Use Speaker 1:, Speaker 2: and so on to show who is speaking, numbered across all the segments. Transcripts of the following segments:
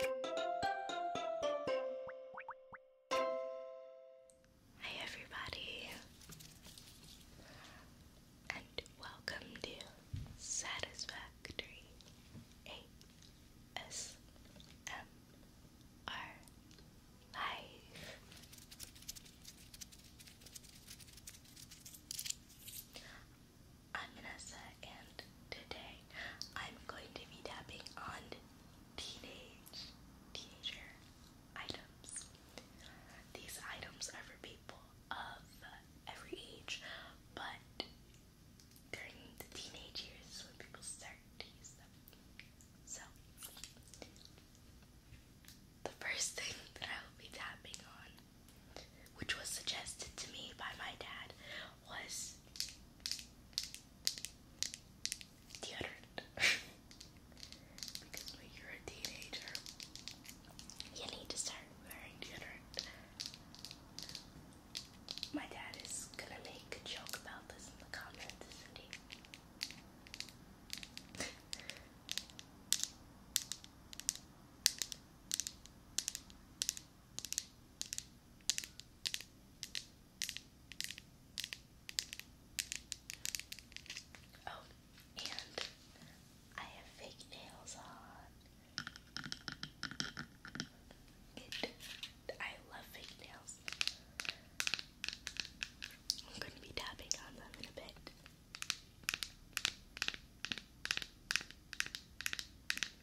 Speaker 1: Hi everybody and welcome to Satisfactory ASMR Live. I'm Vanessa and today I'm going to be tapping on teenage, teenager items. These items are for people of every age, but during the teenage years is when people start to use them. So, the first thing that I will be tapping on, which was suggested to me by my dad, was deodorant. because you're a teenager, you need to start wearing deodorant. My dad is gonna make a joke about this in the comments, is Oh, and I have fake nails on. I love fake nails. I'm going to be tapping on them in a bit.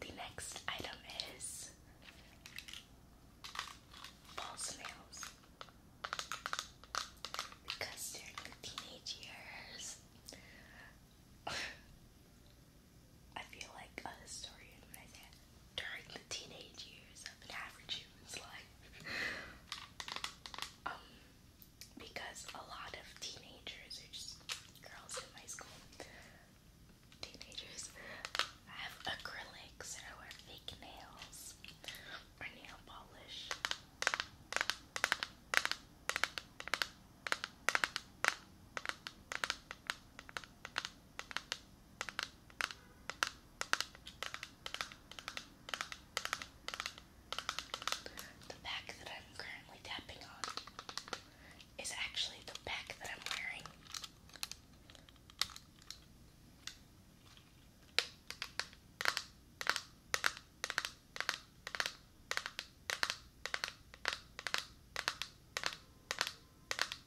Speaker 1: The next item is false nails because during the teenage years. I feel like a historian during the teenage years of an average human's life. Um, because a lot of teenagers are just girls in my school. Teenagers have acrylics or fake nails or nail polish. The back that I'm currently tapping on is actually the back that I'm wearing.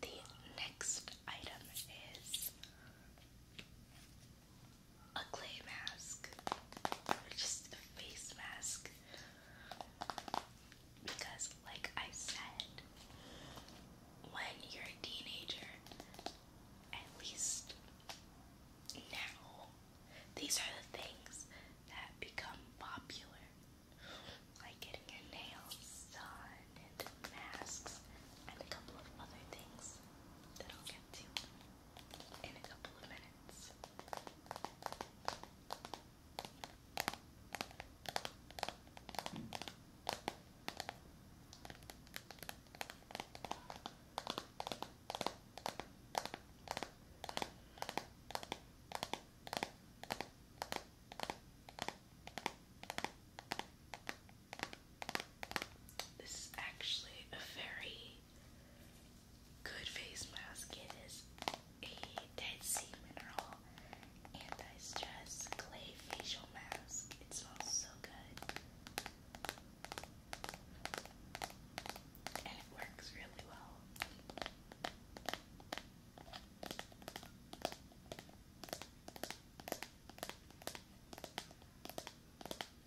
Speaker 1: The next item is a clay mask or just a face mask because, like I said, when you're a teenager, at least now, these are the things that become popular, like getting your nails done and masks and a couple of other things that I'll get to in a couple of minutes. This is actually a very Good face mask. It is a Dead Sea Mineral anti stress clay facial mask. It smells so good. And it works really well.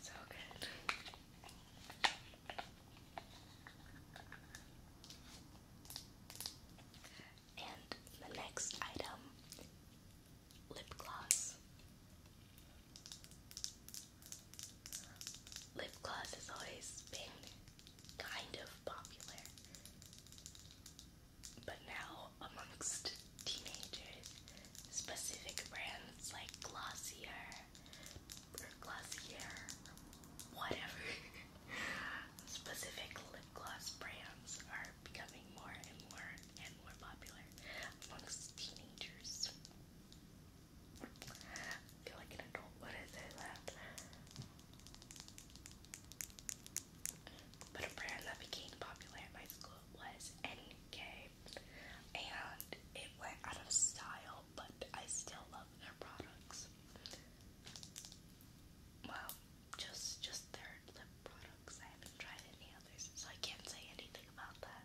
Speaker 1: So good. And the next item lip gloss. Lip gloss has always been kind of popular. But now, amongst teenagers, specific brands like Glossier or Glossier, whatever, specific lip gloss brands are becoming more and more and more popular amongst teenagers. I feel like an adult when I say that. But a brand that became popular at my school was NK, and it went out of style, but I still love their products. Well, just just their lip products. I haven't tried any others, so I can't say anything about that.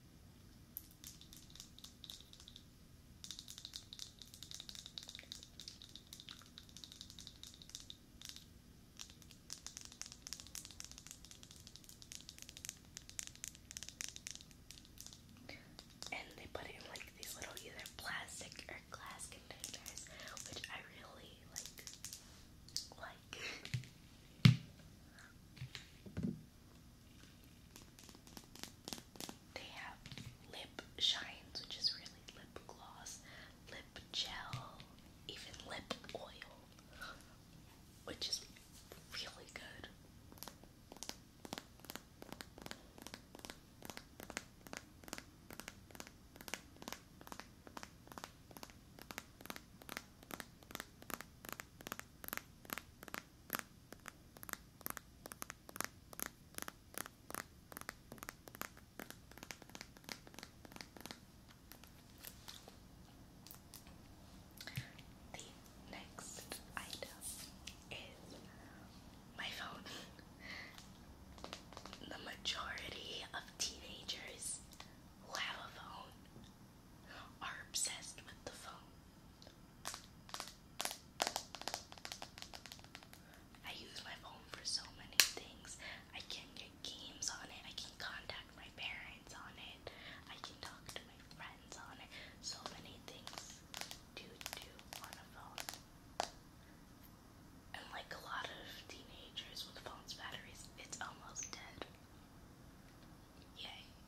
Speaker 1: And they put it in like these little either plastic or glass containers, which I really like. They have lip shines, which is really lip gloss, lip gel, even lip oil, which is really good. The next item is my phone. the majority of teenagers have a phone are obsessed with the phone. I use my phone for so many things. I can get games on it, I can contact my parents on it, I can talk to my friends on it. So many things to do on a phone. And like a lot of teenagers with phones' batteries, it's almost dead. Yay.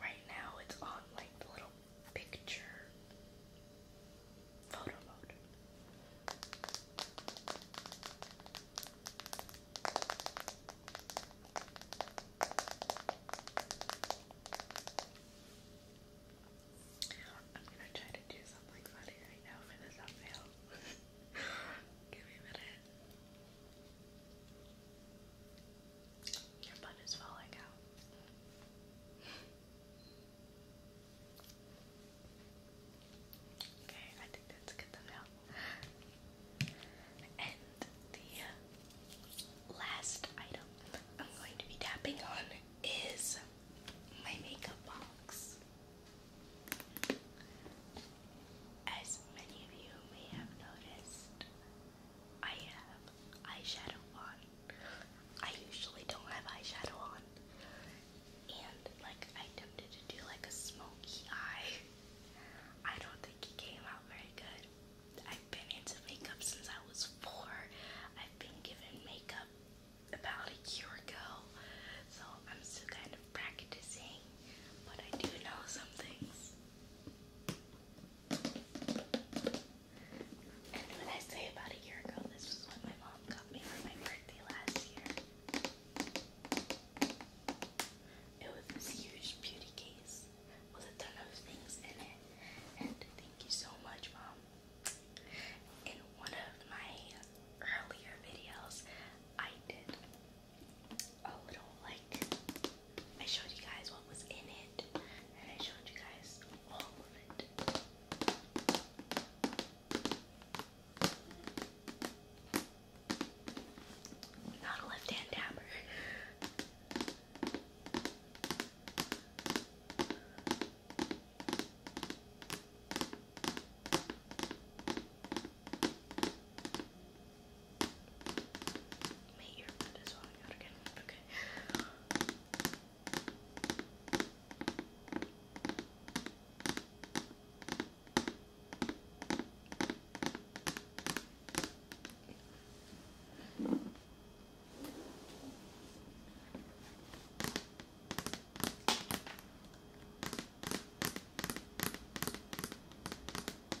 Speaker 1: Right now it's on like the little picture photo mode. I'm gonna try to do something funny right now for this thumbnail. Give me a minute. Your butt is falling out. Okay, I think that's good to And the last item I'm going to be tapping on is my makeup box. As many of you may have noticed, I have eyeshadow on. I usually don't have eyeshadow on. And like I attempted to do like a smoky eye. I don't think it came out very good. I've been into makeup since I was four. I've been giving makeup about a year ago. So I'm still kind of practicing, but I do know some things when I say about a year ago, this was what my mom got me for my birthday last year. It was this huge beauty case with a ton of things in it. And thank you so much, Mom. In one of my earlier videos, I did a little like I showed you guys what was in it and I showed you guys all of it. Not a left hand dabber. My earbud is falling out again. Okay. Okay.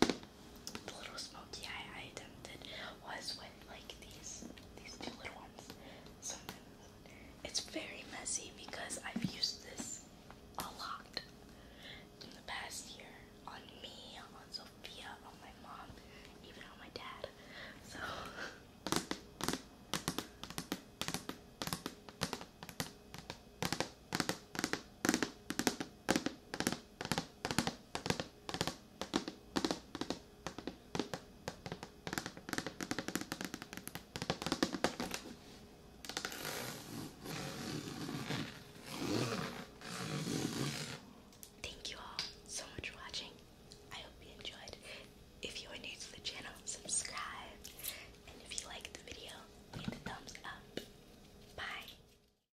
Speaker 1: The little smoky eye I attempted was with like these these two little ones. it's very messy because I've used this a lot in the past year on me, on Sophia, on my mom, even on my dad. So Thank you all so much for watching. I hope you enjoyed. If you are new to the channel, subscribe. And if you liked the video, give it a thumbs up. Bye.